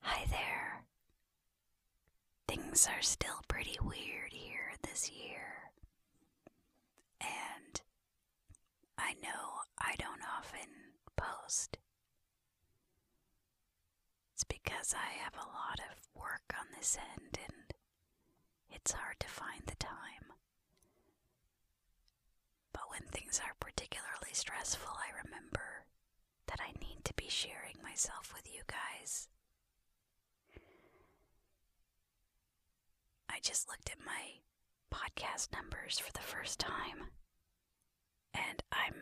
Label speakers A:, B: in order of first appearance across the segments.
A: Hi there. Things are still pretty weird here this year. And I know I don't often post. It's because I have a lot of work on this end and it's hard to find the time. But when things are particularly stressful, I remember that I need to be sharing myself with you guys. I just looked at my podcast numbers for the first time, and I'm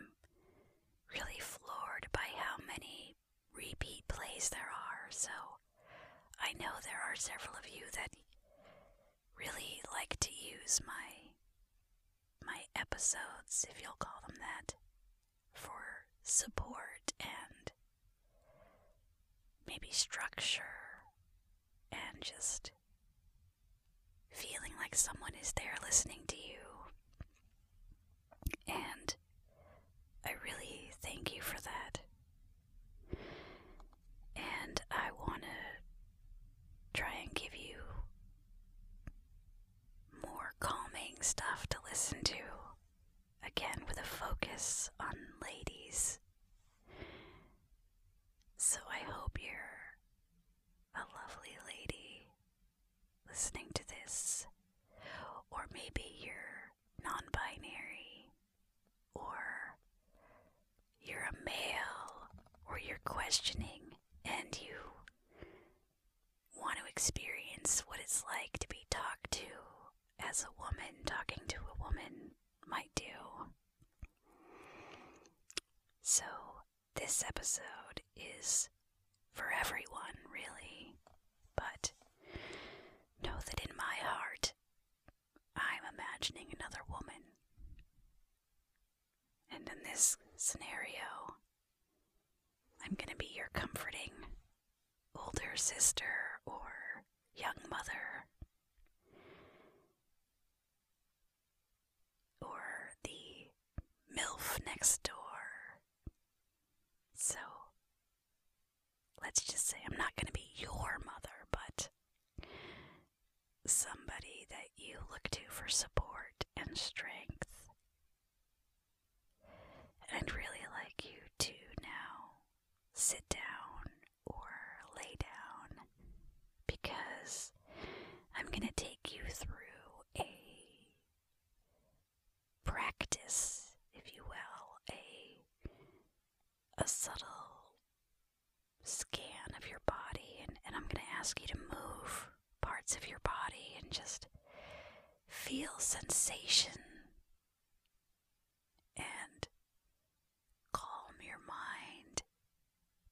A: really floored by how many repeat plays there are. So I know there are several of you that really like to use my my episodes, if you'll call them that, for support and maybe structure and just feeling like someone is there listening to you. And I really thank you for that. And I want to try and give you more calming stuff to listen to, again with a focus on ladies. So I hope you're a lovely lady listening to this, or maybe you're non binary, or you're a male, or you're questioning and you want to experience what it's like to be talked to as a woman talking to a woman might do. So, this episode is for everyone, really, but know that in my heart, I'm imagining another woman. And in this scenario, I'm going to be your comforting older sister or young mother or the MILF next door. So let's just say I'm not going to be your mother, but somebody that you look to for support and strength. I'd really like you to now sit down or lay down because I'm going to take you through a practice, if you will, a, a subtle scan of your body, and I'm going to ask you to move parts of your body and just feel sensation and calm your mind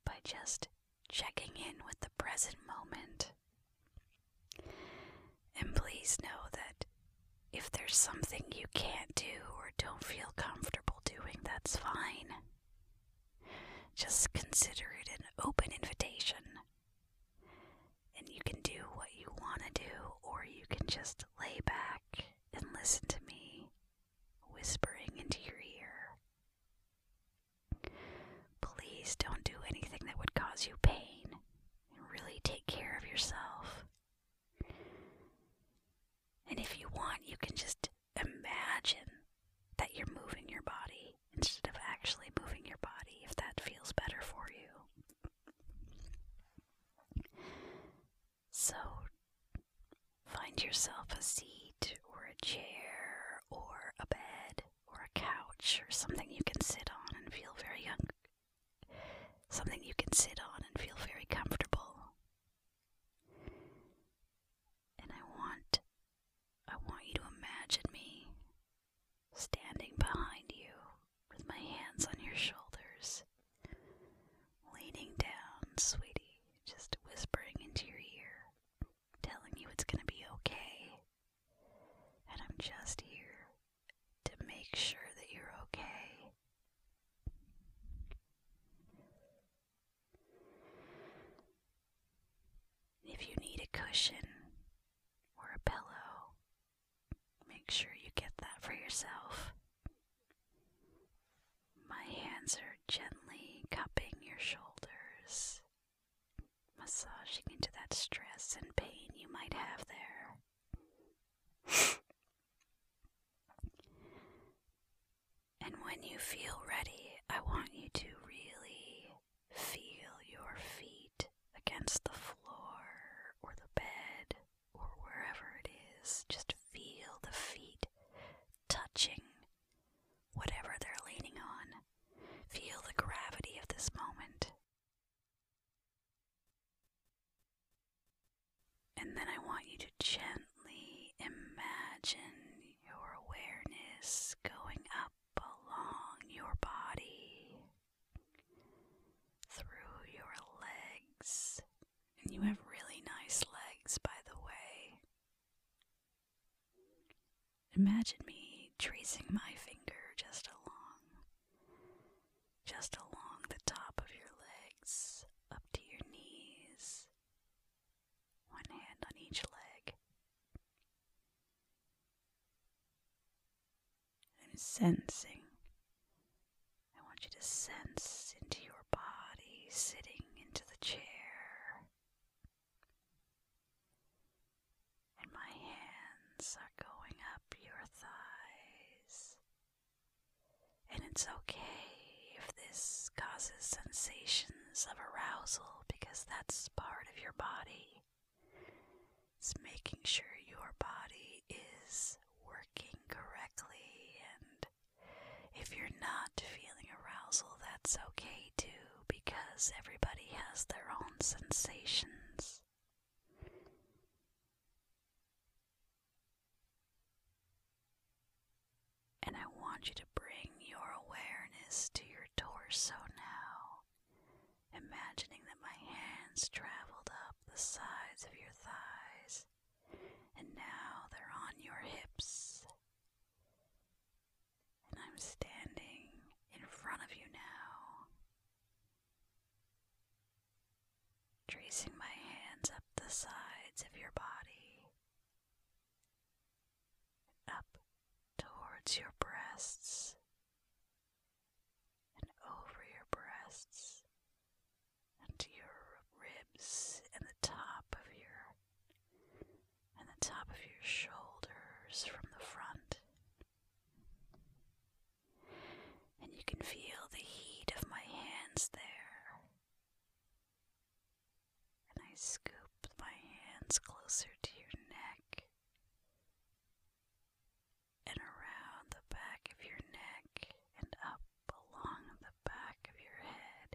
A: by just checking in with the present moment. And please know that if there's something you can't do or don't feel comfortable doing, that's fine. Just consider it an open invitation. And you can do what you want to do, or you can just lay back and listen to me whispering into your ear. Please don't do anything that would cause you pain, and really take care of yourself. And if you want, you can just imagine that you're moving your body instead of actually moving your body if that feels better for you. So find yourself a seat or a chair or a bed or a couch or something you can sit on and feel very something you can sit on and feel very comfortable. And I want I want you to imagine me standing behind you with my hands on your shoulders, leaning down, sweetie, just whispering into your ear, telling you it's gonna be okay. And I'm just here to make sure that you're okay. If you need a cushion or a pillow, make sure you get that for yourself. My hands are gently cupping your shoulders, massaging into that stress and pain you might have there. and when you feel ready, I want you to really Feel your feet against the floor or the bed or wherever it is. Just feel the feet touching whatever they're leaning on. Feel the gravity of this moment. And then I want you to gently imagine your awareness going up along your body, through your legs. And you have really nice legs, by the way. Imagine me tracing my finger just along, just along the top of your legs, up to your knees, one hand on each leg. I'm sensing. I want you to sense into your body, sitting into the chair. And my hands are going up your thighs. And it's okay if this causes sensations of arousal because that's part of your body. It's making sure your body is working correctly, and if you're not feeling arousal, that's okay too, because everybody has their own sensations. And I want you to bring your awareness to your torso now, imagining that my hands traveled up the sides of your thighs, and now they're on your hips. And I'm standing in front of you now, tracing my hands up the sides of your body up towards your breasts and over your breasts and your ribs and the top of your and the top of your shoulders from the front. And you can feel the heat of my hands there. And I scoop my hands closer to your neck and around the back of your neck and up along the back of your head.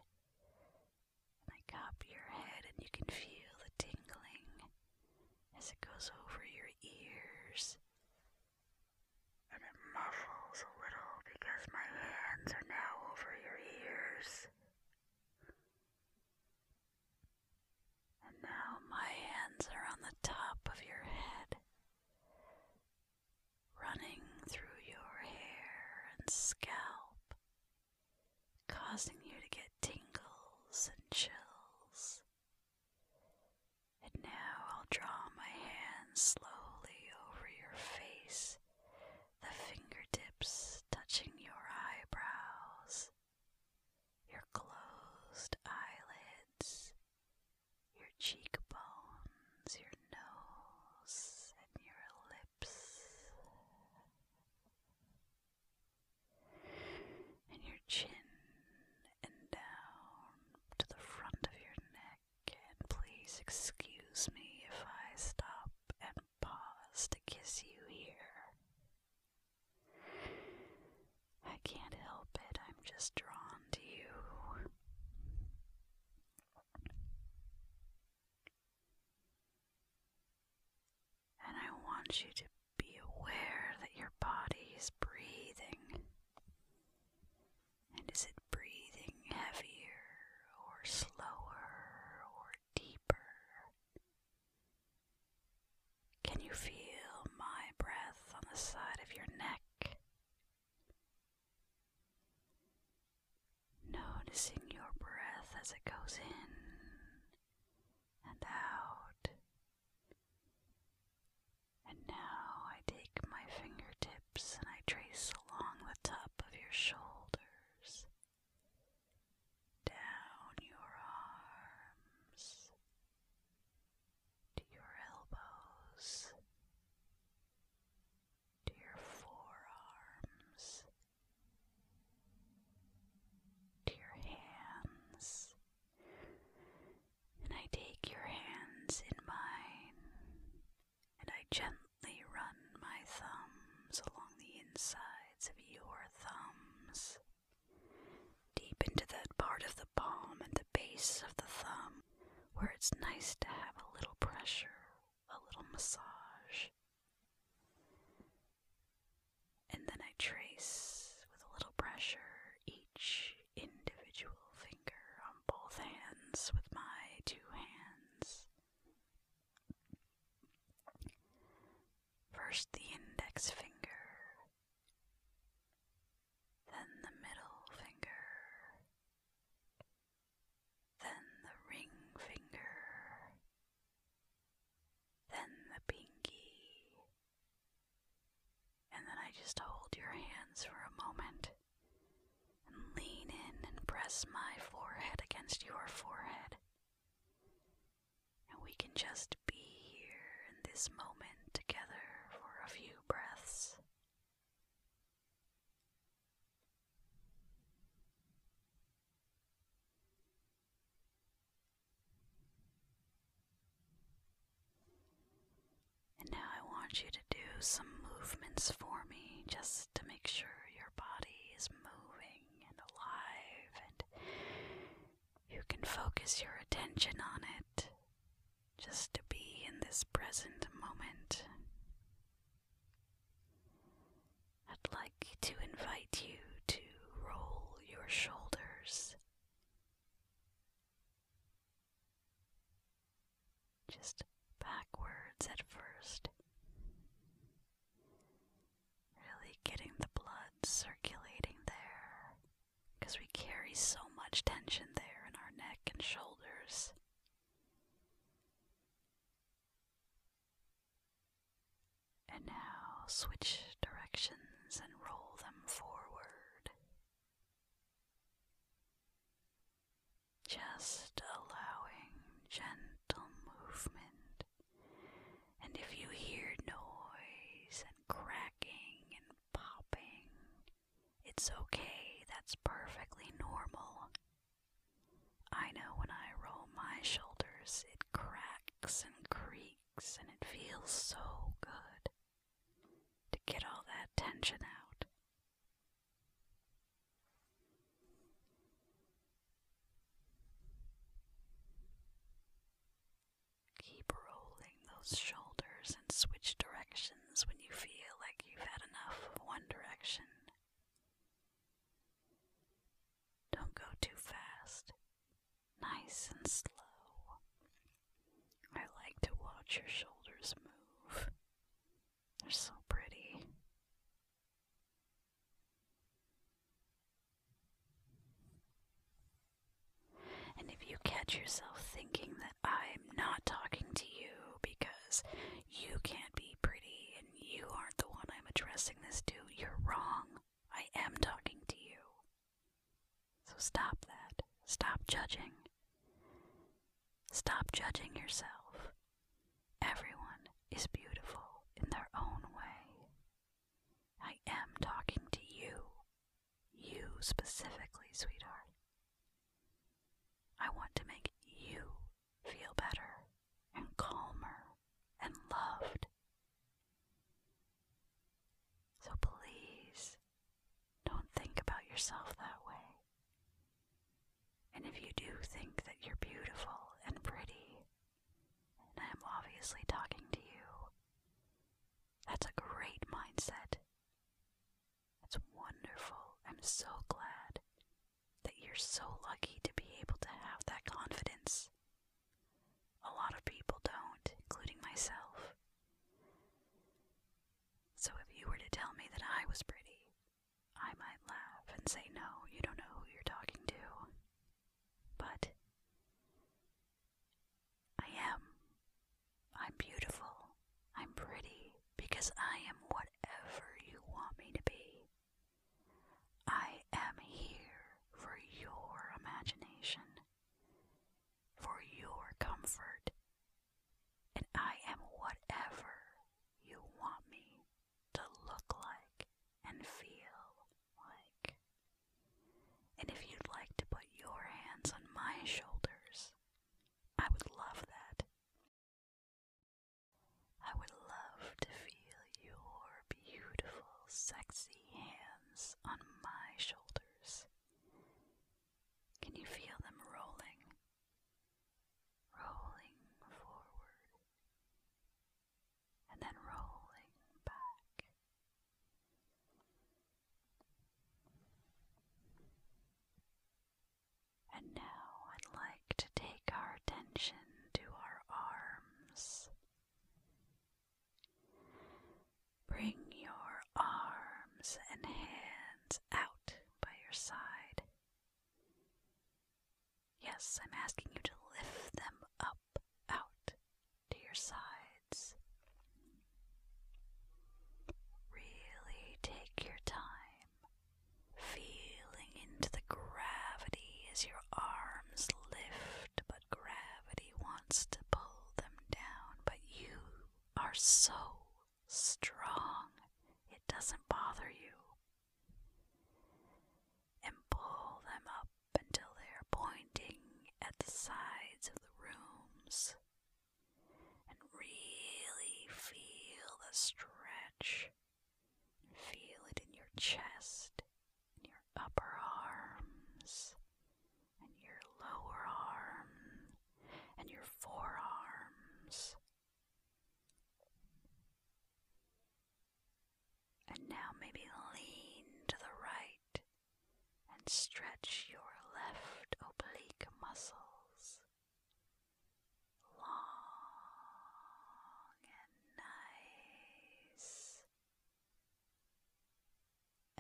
A: I cop your head, and you can feel the tingling as it goes over your ears. And it muffles a little because my hands are now over your ears. And now my hands are on the top of your head, running through your hair and scalp, causing you to get tingles and chills. And now I'll draw my hand slowly over your face, the fingertips touching your eyebrows, your closed eyelids, your cheekbones, your nose, and your lips, and your chin, and down to the front of your neck. And please excuse me if I stop and pause to kiss you here. I can't help it, I'm just drawn to you. And I want you to be aware that your body is breathing. And is it breathing heavier or slower or deeper? Can you feel my breath on the side of your neck? Noticing your breath as it goes in and out. And now I take my fingertips and I trace along the top of your shoulders down your arms to your elbows, to your forearms, to your hands, and I take your hands in mine and I gently run my thumbs along the inside of your thumbs, deep into that part of the palm and the base of the thumb where it's nice to have a little pressure, a little massage. And then I trace with a little pressure each individual finger on both hands with my two hands. First the index finger, then the middle finger, then the ring finger, then the pinky, and then I just hold your hands for a moment and lean in and press my forehead against your forehead and we can just be here in this moment together for a few breaths. And now I want you to do some movements for me just to make sure your body is moving and alive, and you can focus your attention on it just to be in this present moment. I'd like to invite you to roll your shoulders. Just backwards at first, Really getting the blood circulating there. Because we carry so much tension there in our neck and shoulders. And now switch directions and roll them forward. Just allowing gentle movement and if you hear noise and cracking and popping, it's okay, that's perfectly normal. I know when I roll my shoulders, it cracks and creaks, and it feels so good to get all that tension out. Keep rolling those shoulders and switch directions when you feel like you've had enough of one direction. Don't go too fast. Nice and slow. I like to watch your shoulders move. They're so pretty. And if you catch yourself thinking that I'm not talking to you because you can't be pretty and you aren't the one I'm addressing this to, you're wrong. I am talking to you. So stop that. Stop judging. Stop judging yourself. Everyone is beautiful in their own way. I am talking to you. You specifically, sweetheart. I want to make you feel better and calmer and loved. So please don't think about yourself that way. And if you do think that you're beautiful and pretty I am obviously talking to you. That's a great mindset. That's wonderful. I'm so glad that you're so lucky to be able to have that confidence. A lot of people don't, including myself. So if you were to tell me that I was pretty, I might laugh and say, No, you don't know who you're talking to but I am. I'm beautiful. I'm pretty because I am whatever you want me to be. I am here for your imagination, for your comfort, and I am whatever you want me to look like and feel like. And if you'd like to put your hands on my shoulders, I would love that. I would love to feel your beautiful, sexy hands on my shoulders. Can you feel them rolling? Rolling forward, and then rolling back. And now I'd like to take our attention to our arms. Bring your arms and hands out by your side. Yes, I'm asking you to lift them up out, to your sides. Really take your time, feeling into the gravity as your arms lift, but gravity wants to pull them down. But you are so strong, it doesn't bother you. And pull them up until they are pointing at the sides of the rooms and really feel the stretch feel it in your chest and your upper arms and your lower arms, and your forearms and now maybe lean to the right and stretch your left oblique muscles long and nice.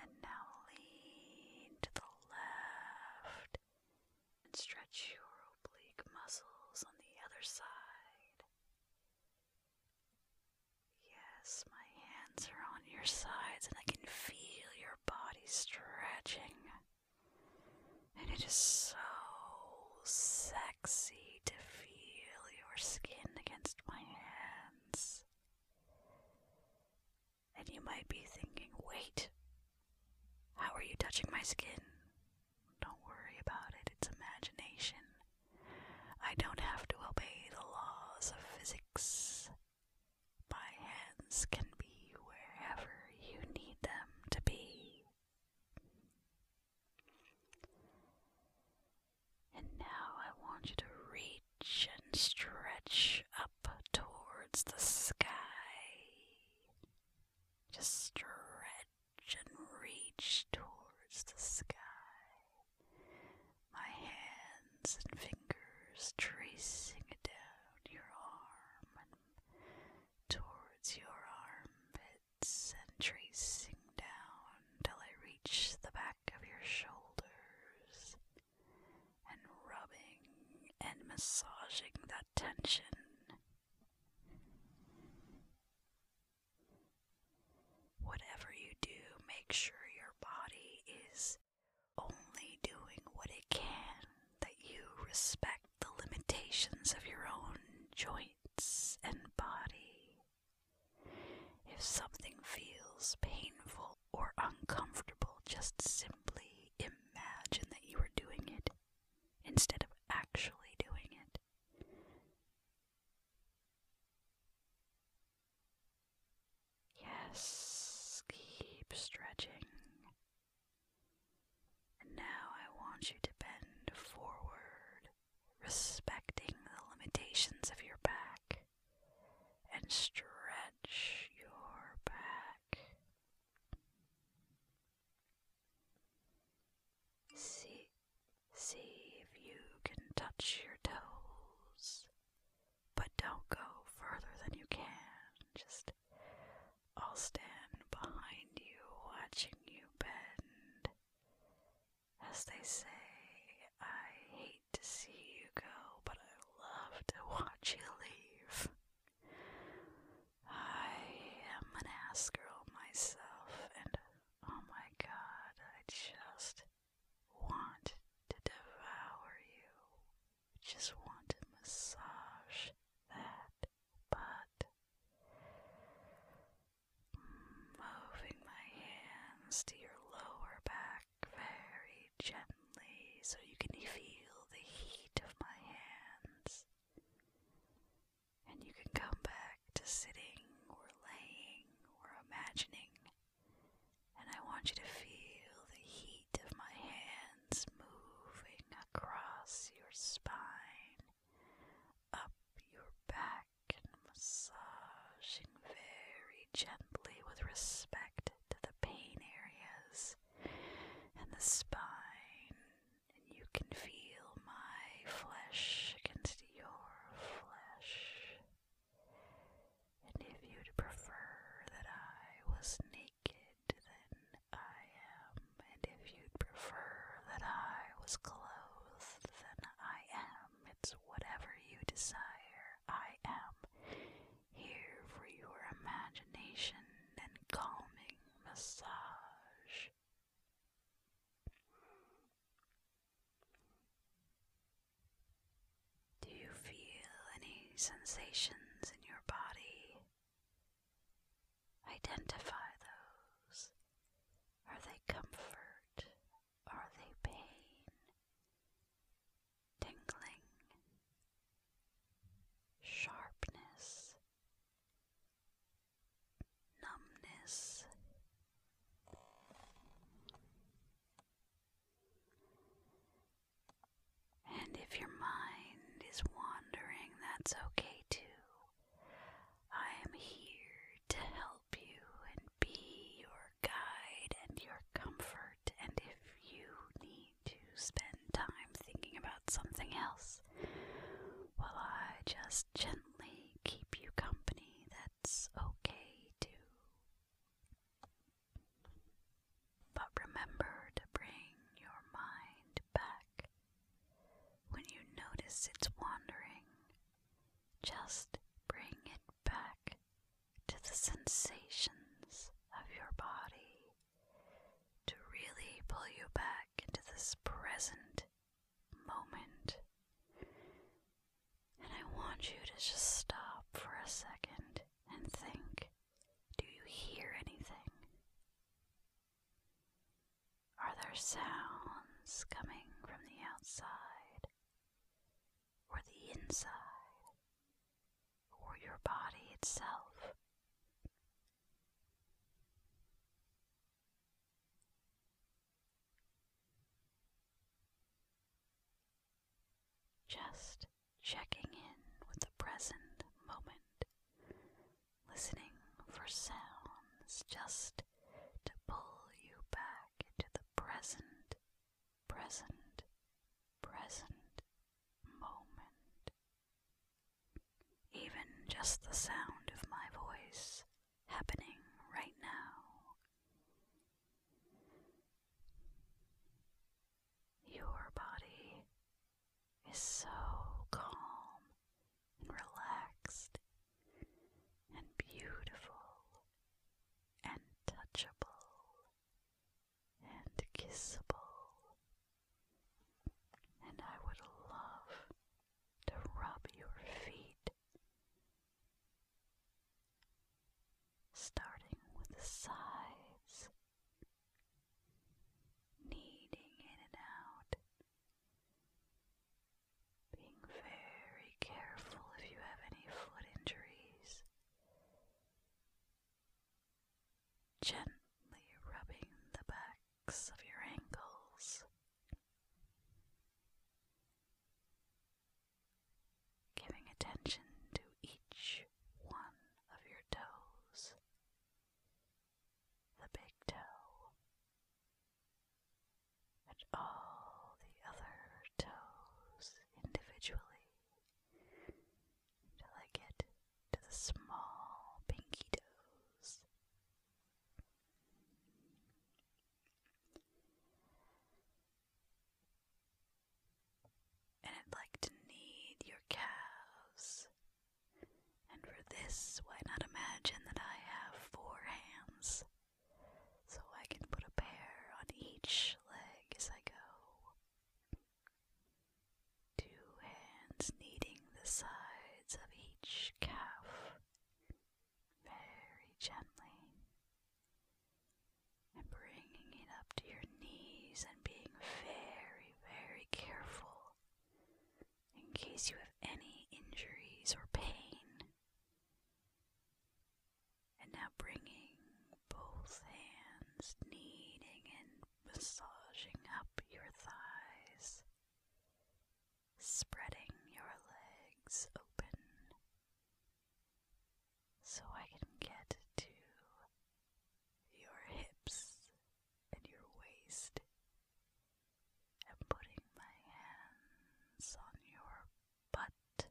A: And now lean to the left and stretch your oblique muscles on the other side. Yes, my hands are on your sides, and I can feel your body stretching. And it is so sexy to feel your skin against my hands. And you might be thinking, wait, how are you touching my skin? Don't worry about it, it's imagination. I don't have to obey the laws of physics. My hands can be wherever you need them to be. And now I want you to reach and stretch up towards the sky. Just stretch and reach towards the sky my hands and fingers tracing it down your arm and towards your armpits and tracing down till I reach the back of your shoulders and rubbing and massaging that tension. Whatever you do, make sure your body is only doing what it can, that you respect the limitations of your own joints and body. If something feels painful or uncomfortable, just simply imagine that you are doing it instead of actually doing it. Yes, keep stretching. And now I want you to bend forward, respecting the limitations of your back, and stretch your back. Six. See if you can touch your toes, but don't go further than you can. Just I'll stand behind you, watching you bend. As they say, I hate to see you go, but I love to watch you leave. I am an ass girl myself, and oh my god, I just want to devour you. just want to massage that butt. Moving my hands to your lower back very gently so you can feel the heat of my hands. And you can come back to sitting or laying thinking or imagining, and I want you to feel the heat of my hands moving across your spine, up your back, and massaging very gently with respect to the pain areas and the spine. And you can feel my flesh against your flesh. And if you'd prefer that I was naked, then I am. And if you'd prefer that I was clothed, then I am. It's whatever you desire, I am. Here for your imagination and calming massage. Do you feel any sensations in your body? Identify those. Are they comfort? Are they pain? Tingling? Sharpness? Numbness? And if your mind is wandering, that's okay too. I am here to help you and be your guide and your comfort. And if you need to spend time thinking about something else, while well, I just gently keep you company, that's okay too. But remember to bring your mind back when you notice it's wandering. Just bring it back to the sensations of your body to really pull you back into this present moment. And I want you to just stop for a second and think do you hear anything? Are there sounds coming from the outside or the inside or your body itself? Just checking in with the present moment, listening for sounds just to pull you back into the present, present, present moment. Even just the sound of my voice happening right now your body is so calm and relaxed and beautiful and touchable and kissable, and I would love to rub your feet starting with the sides, kneading in and out, being very careful if you have any foot injuries, gently rubbing the backs of your ankles giving attention to each one of your toes the big toe and all the other toes individually until I get to the small pinky toes. And I'd like to knead your calves. And for this, why not imagine that I have four hands? So I can put a pair on each leg as I go. Two hands kneading the sides of each calf, very gently, and bringing it up to your knees and being very, very careful in case you have any injuries or pain. And now bringing both hands, kneading and massaging up your thighs, spreading your legs open so I can get to your hips and your waist. and putting my hands on your butt.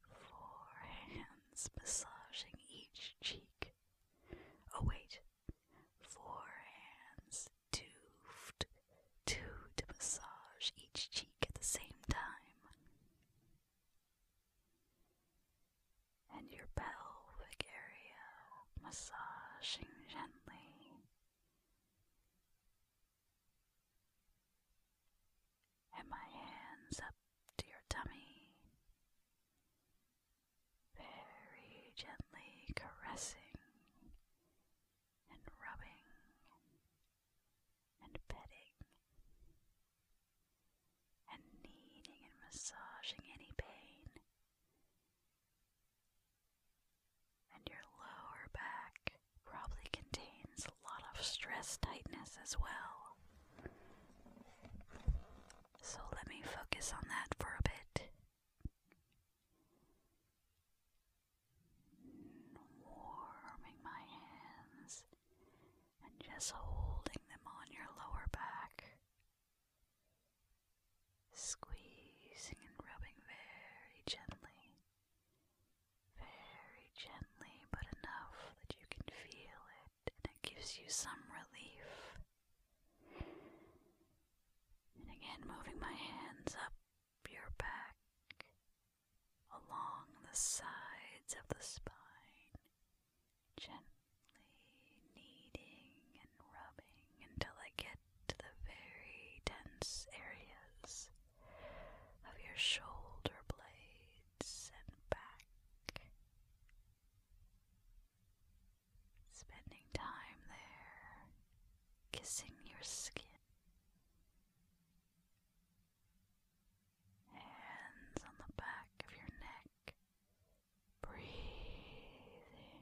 A: Four hands massaging each cheek. Oh, wait. Four hands toothed, to massage each cheek at the same time. And your pelvic area massaging gently. And my hands up to your tummy, very gently caressing and rubbing and petting and kneading and massaging any pain. And your lower back probably contains a lot of stress tightness as well. So let me focus on that for a bit warming my hands and just holding them on your lower back, squeezing and rubbing very gently, very gently, but enough that you can feel it and it gives you some relief. And again, moving my hands up your back, along the sides of the spine, gently kneading and rubbing until I get to the very dense areas of your shoulder blades and back. Spending time there, kissing your skin, Hands on the back of your neck. Breathing.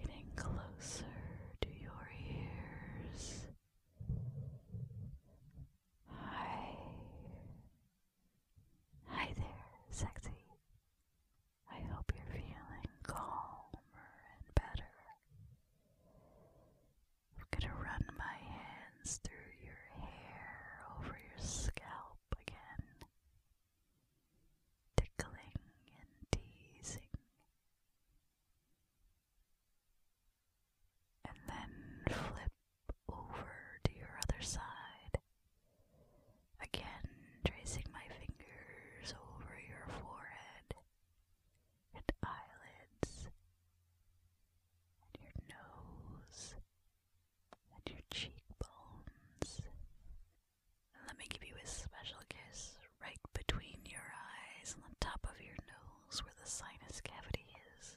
A: Getting closer to your ears. Hi. Hi there, sexy. I hope you're feeling calmer and better. I'm going to run my hands through your hair over your scalp again, tickling and teasing. And then flip over to your other side Again, tracing my fingers over your forehead and eyelids and your nose and your cheekbones. And let me give you a special kiss right between your eyes and the top of your nose where the sinus cavity is.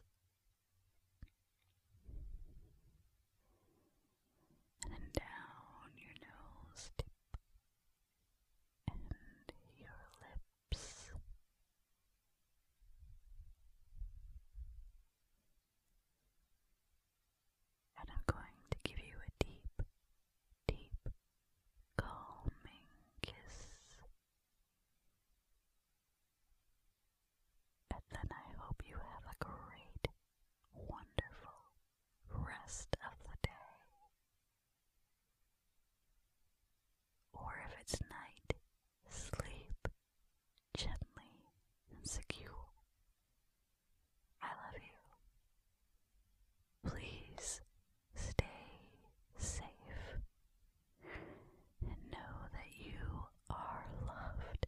A: And then down your nose tip and your lips. And I'm going to give you a deep, deep, calming kiss. And then I hope you have a great wonderful rest of the day. Or if it's night, sleep gently and secure. I love you. Please stay safe and know that you are loved.